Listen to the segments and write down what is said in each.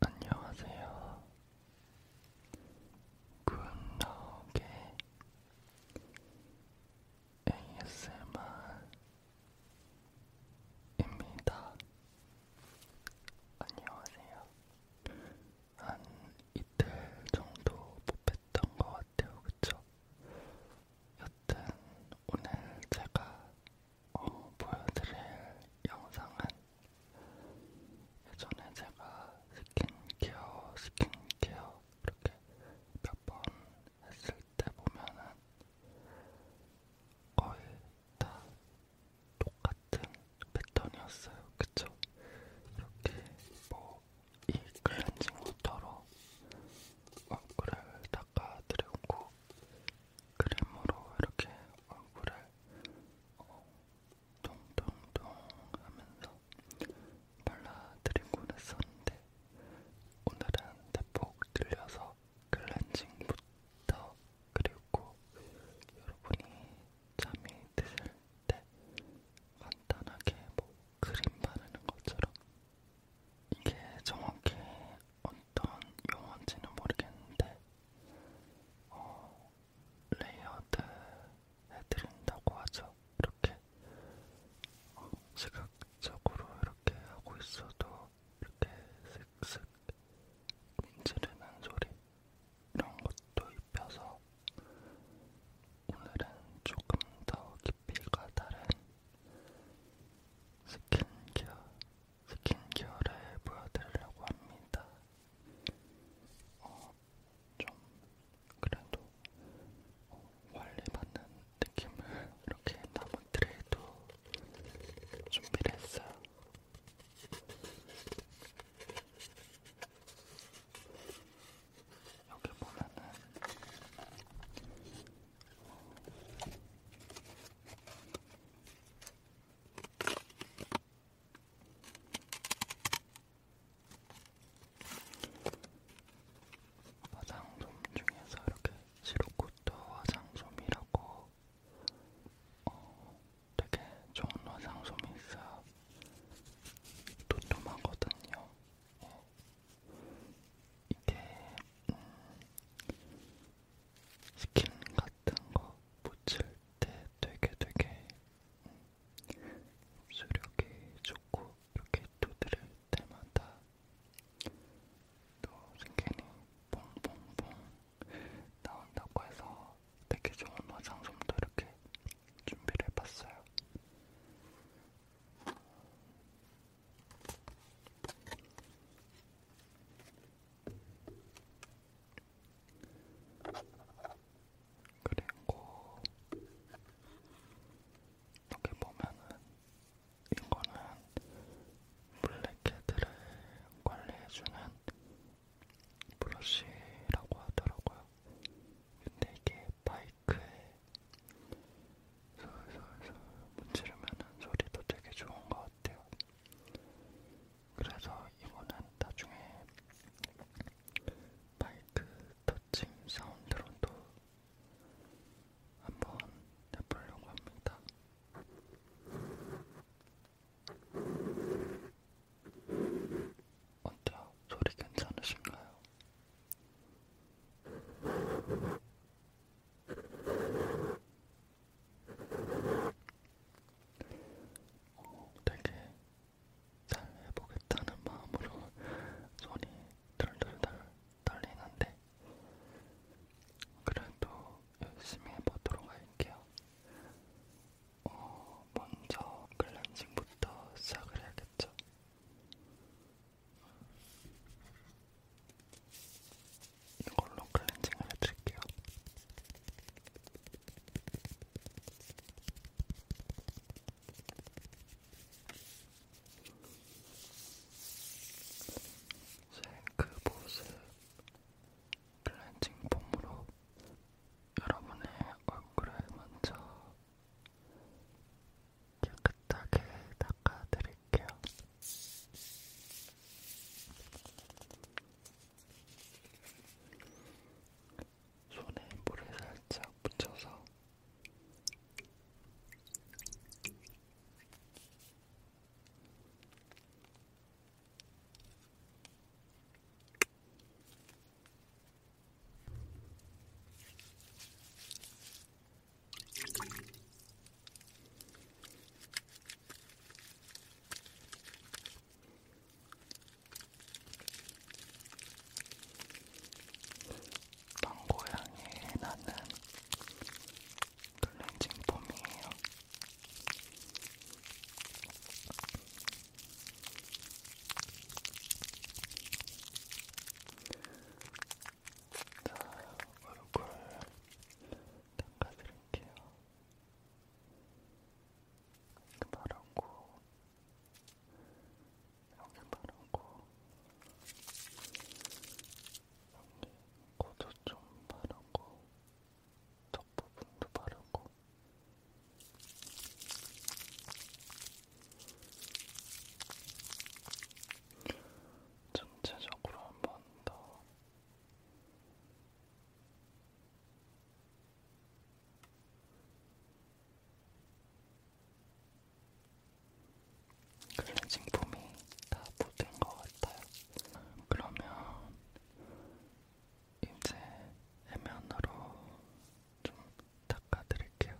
안녕하세요. 굿나오게 ASMR 입니다. 안녕하세요. 한 이틀 정도 못 뵀던 것 같아요, 그쵸? 여튼 오늘 제가 어, 보여드릴 영상은 예전에 제가 스킨케어, 스킨케어 이렇게 몇번 했을 때 보면은 거의 다 똑같은 패턴이었어요. 그쵸? 이렇게 뭐 이 클렌징 워터로 얼굴을 닦아드리고 크림으로 이렇게 얼굴을 어, 동동동 하면서 발라드리곤 했었는데 오늘은 대폭 들려서 클렌징부터 그리고 여러분이 잠이 드실 때 간단하게 뭐 크림 바르는 것처럼 이게 정확히 어떤 용어인지는 모르겠는데 어, 레이어드 해드린다고 하죠. 이렇게 어, 시각적으로 이렇게 하고 있어도 이렇게 슥슥 문지르는 소리 이런 것도 입혀서 오늘은 조금 더 깊이가 다른 스킨케어, 스킨케어를 보여드리려고 합니다. 어, 좀 그래도 어, 관리받는 느낌을 이렇게 나무 트레이도 준비를 했어요. 여기 보면은 화장솜 중에서 이렇게 시로코토 화장솜이라고 어, 되게 좋은 화장솜이 있어요. 도톰하거든요. 어. 이게 음, 스킨 같은 거 붙일 때 되게 되게 음, 수력이 좋고 이렇게 두드릴 때마다 또 스킨이 뽕뽕뽕 나온다고 해서 되게 좋은 화장 좀도 이렇게 준비를 해봤어요. 그리고 여기 보면은 이거는 블랙헤드를 관리해주는 브러쉬라고 하더라고요. 근데 이게 바이크에 솔솔솔 문지르면 소리도 되게 좋은 것 같아요. 그래서 이거는 나중에 바이크 터칭 사운드로도 한번 해보려고 합니다. 어때요? 소리 괜찮으신가요? 어, 되게 잘 해보겠다는 마음으로 손이 덜덜덜 떨리는데 그래도 열심히 해보도록 할게요. 어, 먼저 클렌징부터 시작을 해야겠죠. 이걸로 클렌징을 해드릴게요. 그 모습 클렌징 폼으로 여러분의 얼굴을 먼저 깨끗하게 닦아드릴게요. 손에 물을 살짝 묻혀서 망고향이 나는 클렌징 폼이에요. 자, 얼굴 닦아드릴게요. 이렇게 바르고, 여기 바르고, 코도 좀 바르고 턱 부분도 바르고 전체적으로 한 번 더 클렌징 폼이 다 묻은 것 같아요. 그러면 이제 해면으로 좀 닦아드릴게요.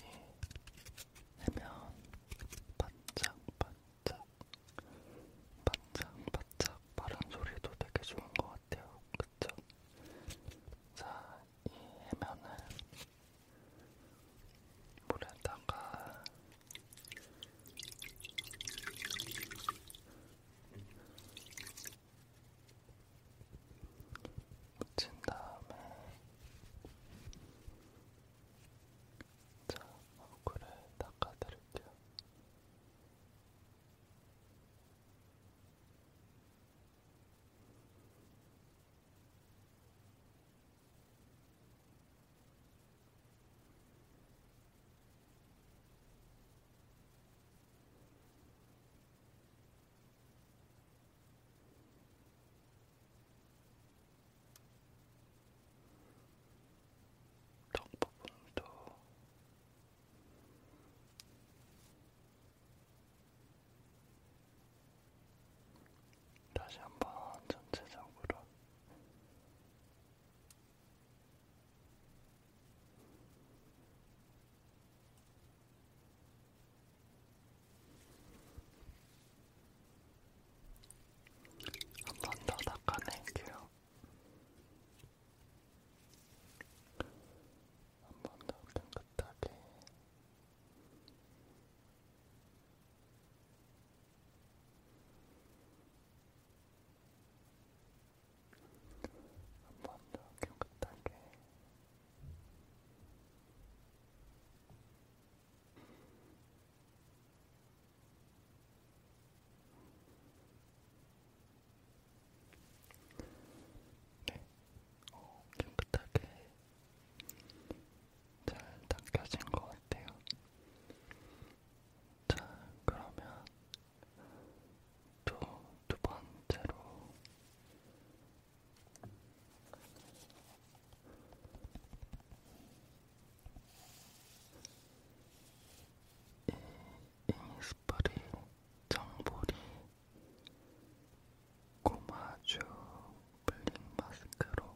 예, 해면 반짝반짝 반짝반짝 바른 소리도 되게 좋은 것 같아요. 그쵸? 자, 이 해면을 물에다가 묻힌 다음에 자, 얼굴을 닦아드릴게요. 자, 턱 부분도 다시 한번 전체적으로 한번더 닦아낼게요. 한번더 깨끗하게. 한번더 깨끗하게 네, 어, 깨끗하게 잘 닦여진 것 같아요. 자, 그러면 또 두 번째로 이 이니스프리 정보리 고마주 블링 마스크로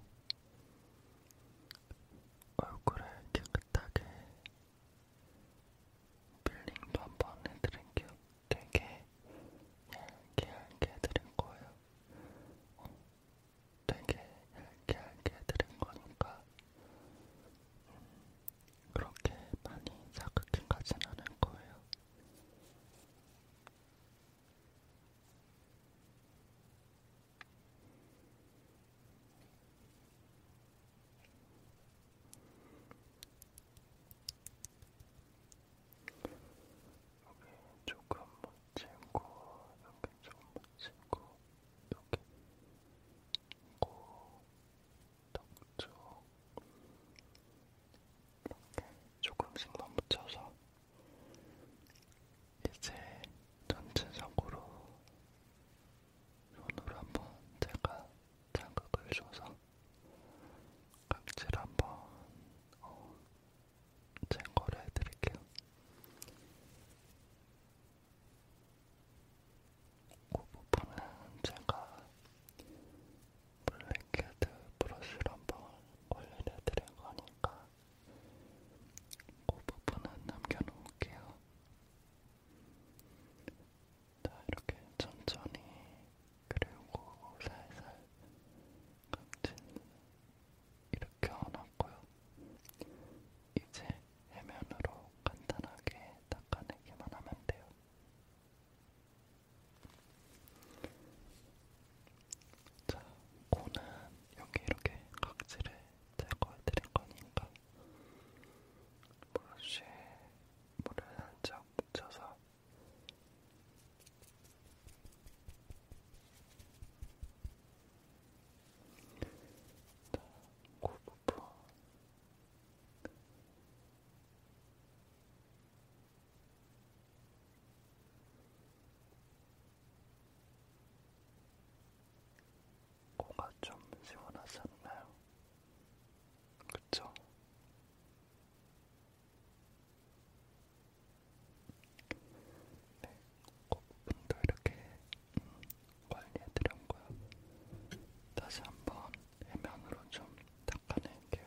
얼굴을 깨끗하게 필링도 한 번 해드릴게요. 되게 얇게 얇게 해드릴 거예요. 어, 되게 얇게 얇게 해드린 거니까 음, 그렇게 많이 자극해 가진 않을 거예요. 여기 조금 못 찍고, 여기 조금 못 찍고, 여기 코, 턱쪽 이렇게 조금씩만 붙여서 이제 전체적으로 손으로 한번 제가 자극을 줘서 각질 한번 어, 제거를 해드릴게요. 그 부분은 제가 블랙헤드 브러쉬로 한번 관리를 해드릴 거니까 그 부분은 남겨놓을게요. 자, 이렇게 천천히 그리고 살살 각질 일으켜놨고요. 이제 해면으로 간단하게 닦아내기만 하면 돼요. 자, 코는 여기 이렇게 각질을 제거해드릴 거니까 브러쉬에 물을 살짝 묻혀서 자, 그 부분 자, 코가 좀 시원하지 않나요? 그쵸? 네, 코분도 이렇게 음, 관리해드렸고요. 다시 한번 해면으로 좀 닦아낼게요.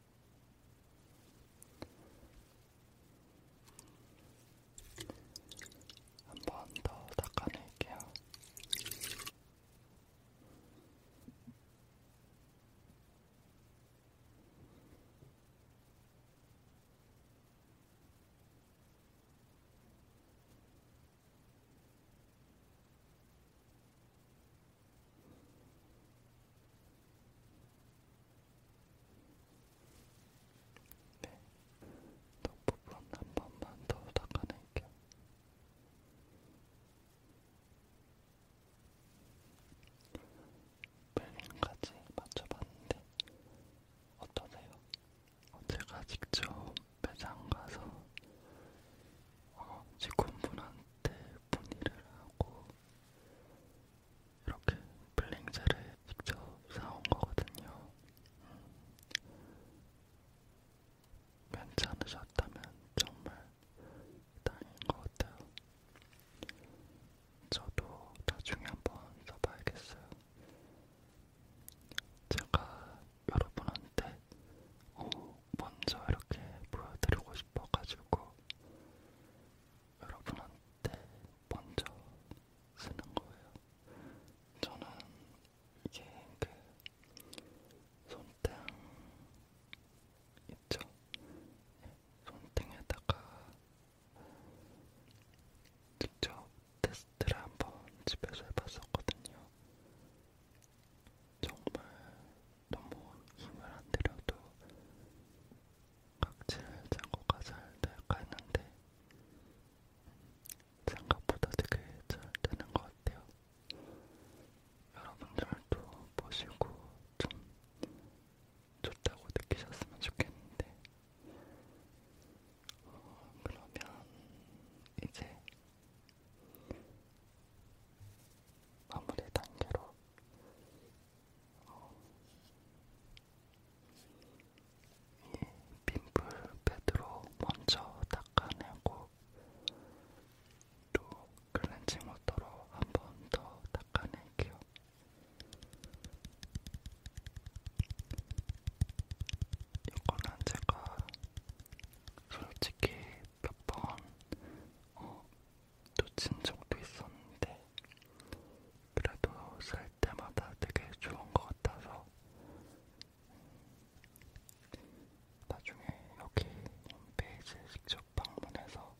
한번더 닦아낼게요. 네, 턱 네. 부분 한 번만 더 닦아낼게요. 벨링까지 맞춰봤는데 어떠세요? 어, 제가 직접 매장 가서 어, 직원분한테 문의를 하고 이렇게 블랭자를 직접 사온 거거든요. 음. 괜찮으셨다면 정말 다행인 것 같아요. 저도 나중에 한번 써봐야겠어요. 제가 여러분한테 어, 먼저 이렇게 보여드리고 싶어가지고 여러분한테 먼저 쓰는 거예요. 저는 이게 그 손등 있죠? 손등에다가 직접 테스트를 한번 집에서 해봤었거든요. 정말 너무 힘을 안 들여도 각질 장고가 잘 닦았는데 생각보다 되게 잘 되는 것 같아요. 여러분들도 보시고 좀 좋다고 느끼셨으면 좋겠는데 어, 그러면 이제 마무리 단계로 이 빈풀 패드로 먼저 닦아내고 또 클렌징 워터로 한 번 더 닦아낼게요. 이거는 제가 솔직히 몇번 어, 놓친 적도 있었는데 그래도 살 때마다 되게 좋은 것 같아서 나중에 여기 홈페이지 직접 방문해서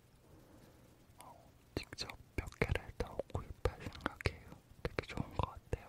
어, 직접 몇 개를 더 구입할 생각이에요. 되게 좋은 것 같아요.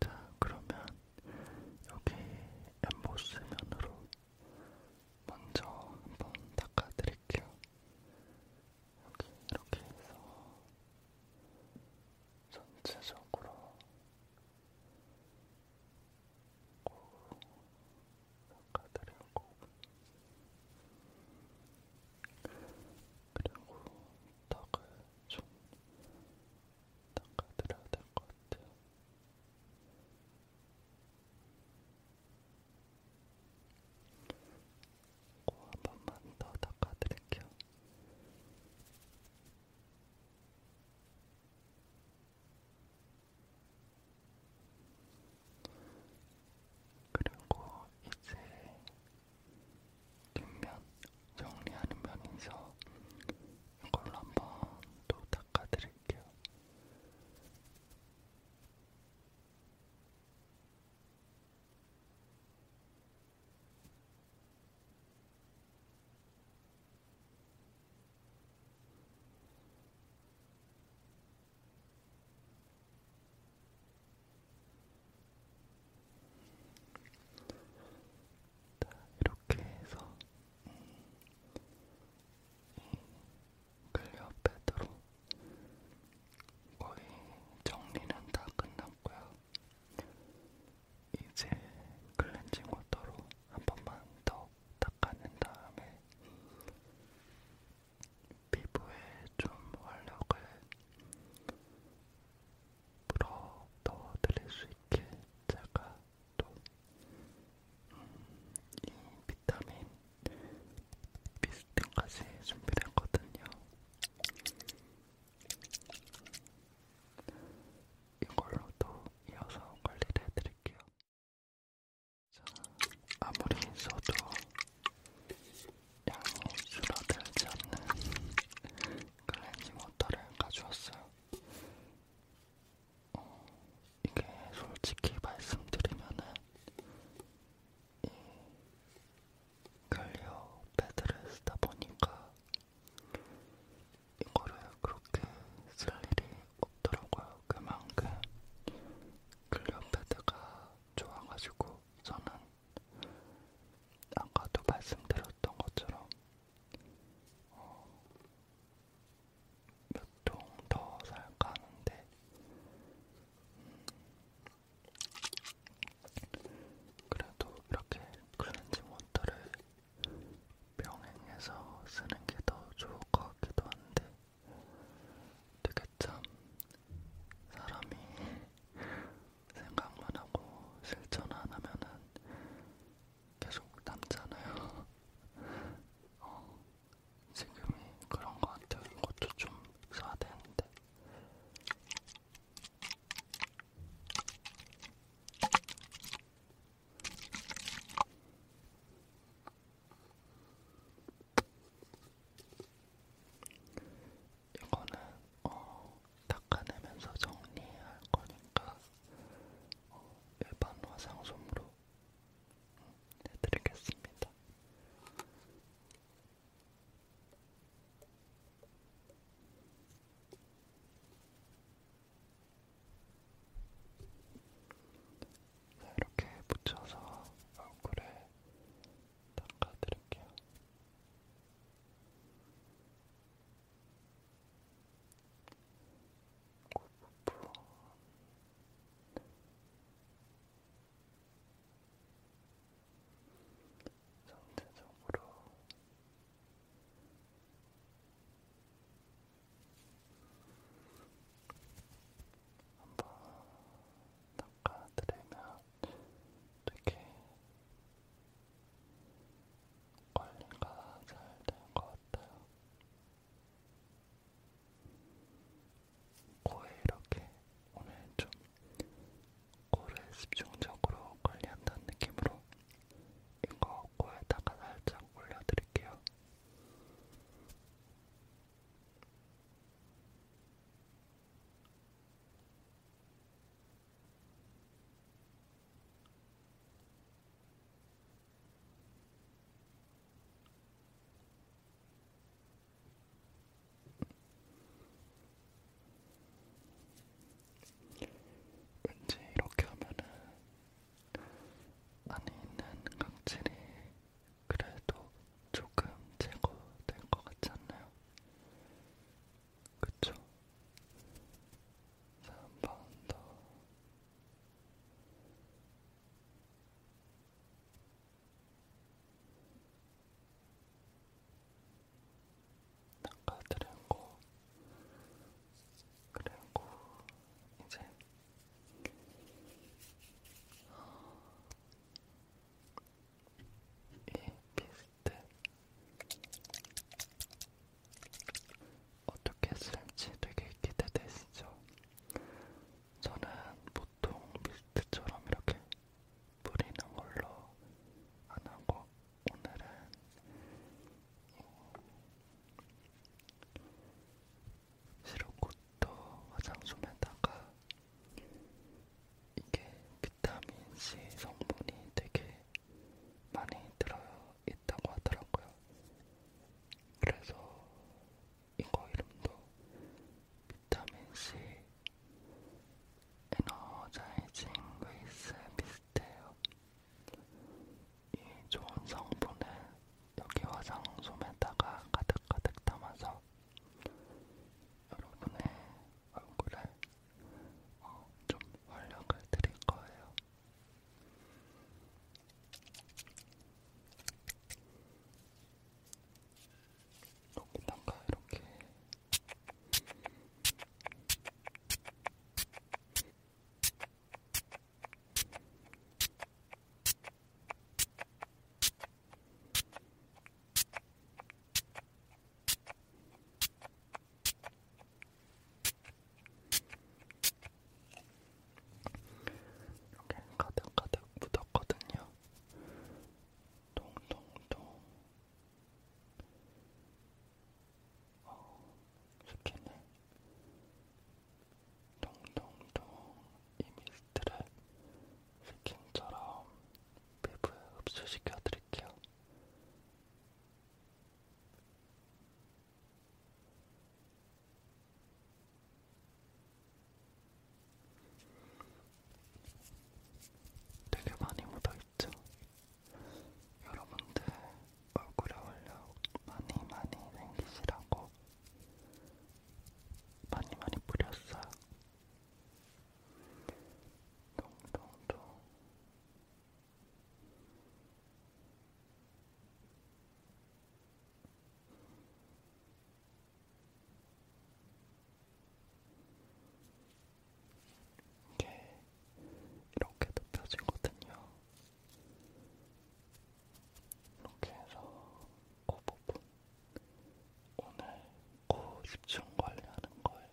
자, 그러면 여기 엠보스 면으로 먼저 한번 닦아드릴게요. 여기 이렇게 해서 전체적으로 닦아드리고 그리고 턱을 좀 닦아드려야 될 것 같아요. 코한 번만 더 닦아드릴게요. 그리고 이제 뒷면 정리하는 면이 있어 이걸로 한번 또 닦아드릴게요. 이렇게 해서 클리어 음, 패드로 음, 그 거의 정리는 다 끝났고요. 이제 클렌징 워터로 한 번만 더 닦아낸 다음에 피부에 좀 활력을 불어 넣어드릴 수 있게 제가 또이 음, 비타민 비스틴까지 준비를 했거든요. 이걸로도 이어서 관리를 해드릴게요. 자, 아무리 써도 양이 줄어들지 않는 클렌징 워터를 가져왔어요. 어, 이게 솔직히 말씀드리면은 이 클리어 패드를 쓰다 보니까 이거를 그렇게 쓸 일이 없더라고요. 그만큼 클리어 패드가 좋아가지고 저는 아까도 말씀드렸던 것처럼 어, 몇통더 살까 하는데 음, 그래도 이렇게 클렌징 워터를 병행해서 쓰는 게 더 좋을 것 같기도 한데 되게 참 사람이 생각만 하고 실천 안 하면은 계속 남잖아요. 어, 지금이 그런 것 같아요. 이것도 좀 써야 되는데. 이거는 어, 닦아내면서 정리할 거니까 어, 일반 화장솜으로 음, 해드리겠습니다. 자, 이렇게 붙여서 얼굴에 닦아드릴게요. 부분 전체적으로 한번 닦아드리면 되게 관리가 잘 된 것 같아요. 코에 이렇게 오늘 좀 코를 집중적으로 관리한다는 느낌으로 이거 코에다가 살짝 올려드릴게요. 왠지 이렇게 하면은 안에 있는 각질이 그래도 조금 제거될 것 같지 않나요? 그쵸? 3파운더 낚아드리고 그리고 이제 이 비스킷 같아. 어떻게 쓸지 되게 기대되시죠? 저는 보통 밀트처럼 이렇게 뿌리는 걸로 안 하고 오늘은 시로코토 화장솜에다가 이게 비타민C 성분이 되게 많이 들어있다고 하더라고요. 그래서 이거 이름도 비타민C 에너자이징 웨이스 비슷해요. 이 좋은 성분을 여기 화장솜에다가 가득가득 담아서 여러분의 얼굴에 어, 좀 활력을 드릴 거예요. 여기다가 이렇게 이렇게 가득가득 묻었거든요. 동동동. 어, 스킨을 동동동 이 미스트를 스킨처럼 피부에 흡수시켜 드릴게요. 되게 많이 묻어있죠? 여러분들 얼굴에 올려 많이 많이 생기시라고 많이 많이 뿌렸어요. 동동동 이게 이렇게 덮여지거든요. 이렇게 해서 그 부분 오늘 코 그 집중 관리하는 거예요.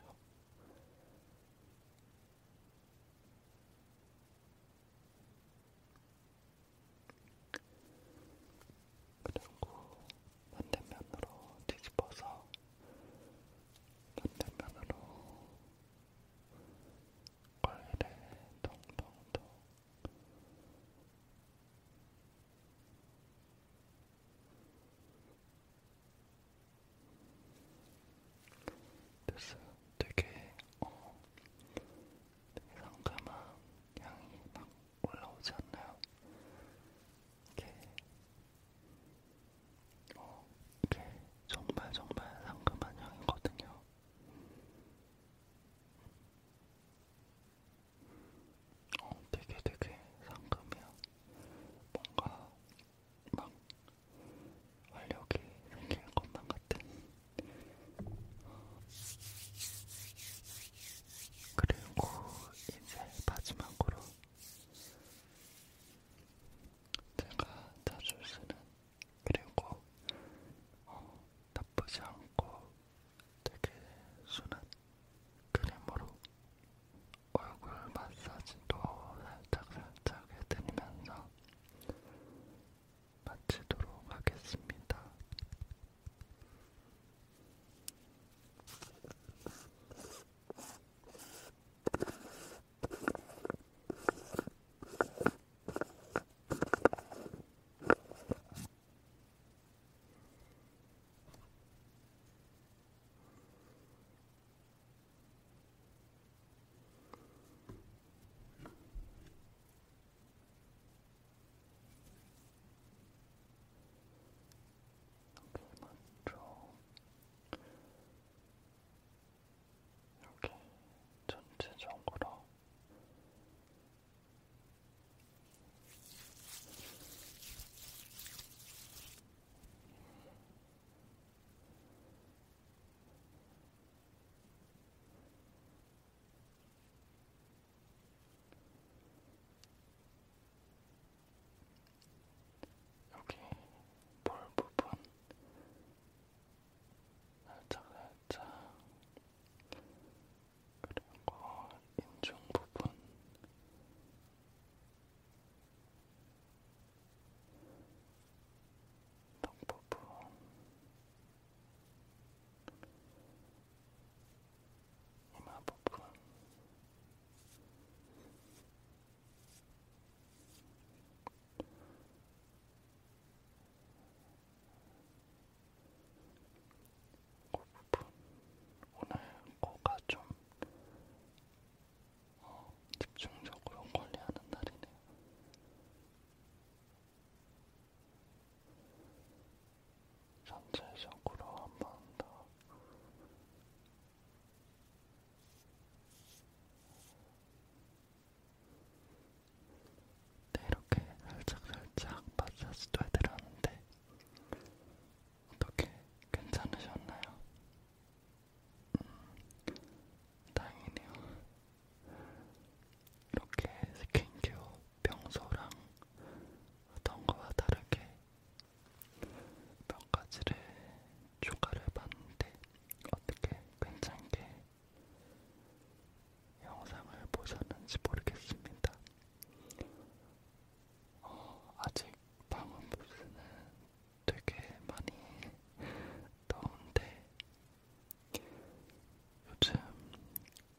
그리고 반대면으로 뒤집어서 반대면으로 거리를 동동동 됐어요. 되게 어, 되게 상큼한 향이 막 올라오지 않나요? 이게 어, 이게 정말 정말 상큼한 향이거든요. 어, 되게 되게 상큼해요. 뭔가 막 활력이 생길 것만 같은 그리고 이제 마지막으로 제가 자주 쓰는 그리고 어, 나쁘지 않고 되게 순한 크림으로 얼굴 마사지도 살짝살짝 해드리면서 마치도록 하겠습니다. 여기 맞죠? 여기 전체적으로 여기 볼 부분 살짝 살짝 그리고 인중 부분 턱 부분 이마 부분 코 부분 오늘 코가 좀 어, 집중적으로 관리하는 날이네요. 전체적으로 한 번 더 네, 이렇게 살짝살짝 마사지도 해드렸는데 어떻게 괜찮으셨나요? 음, 다행이네요. 이렇게 스킨케어 평소랑 어떤 거와 다르게 몇 가지를 추가를 봤는데 어떻게 괜찮게 영상을 보셨는지 모르겠습니다. 어, 아직 방언 부스는 되게 많이 더운데 요즘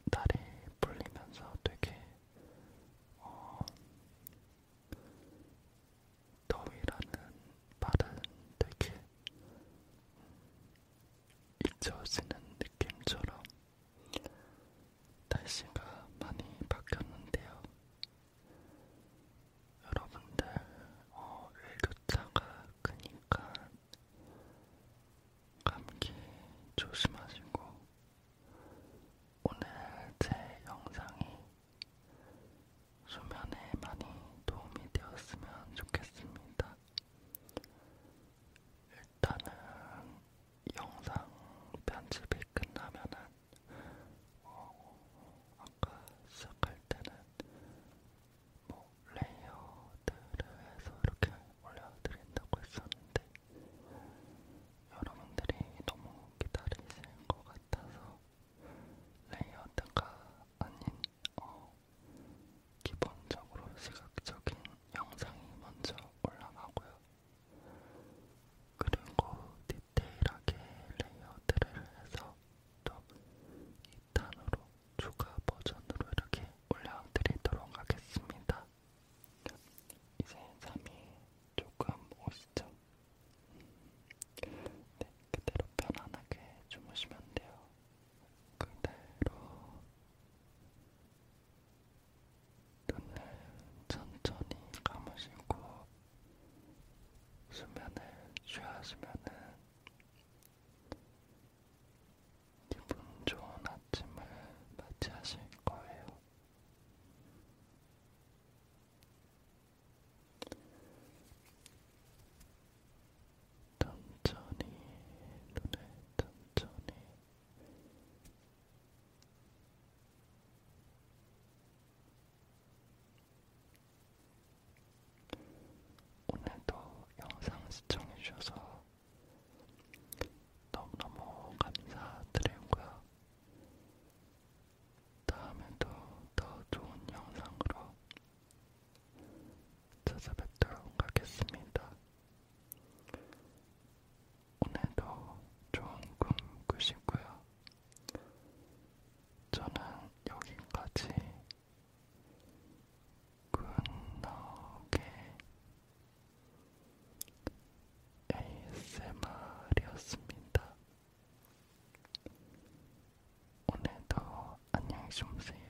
날이 풀리면서 되게 어, 더위라는 말은 되게 잊혀지는 느낌처럼 날씨가 많이 바뀌었는데요. 여러분들 어, 일교차가 크니까 감기 조심하시고 오늘 제 영상이 수면에 많이 도움이 되었으면 좋겠습니다. 일단은 영상 편집이 끝나면은 어, 아까 시작할 때는 뭐 레이어드를 해서 이렇게 올려드린다고 했었는데 여러분들이 너무 기다리실 것 같아서 레이어드가 아닌 어, 기본적으로 시각적인 영상이 먼저 올라가고요. 그리고 디테일하게 레이어드를 해서 또 2탄으로 추가 버전으로 이렇게 올려드리도록 하겠습니다. 이제 잠이 조금 오시죠? 네, 그대로 편안하게 주무시면 돼요. 그대로 눈을 천천히 감으시고 수면을 취하시면은 기분 좋은 아침을 맞이하실 거예요. 천천히 눈을 천천히 오늘도 영상 시청해주셔서 너무너무 감사드리고요. 다음에도 더 좋은 영상으로 찾아뵙도록 하겠습니다. 오늘도 좋은 꿈 꾸시고요. 저는 여기까지 굿나게 ASMR이었습니다. 오늘도 안녕히 주무세요.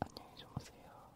안녕히 주무세요.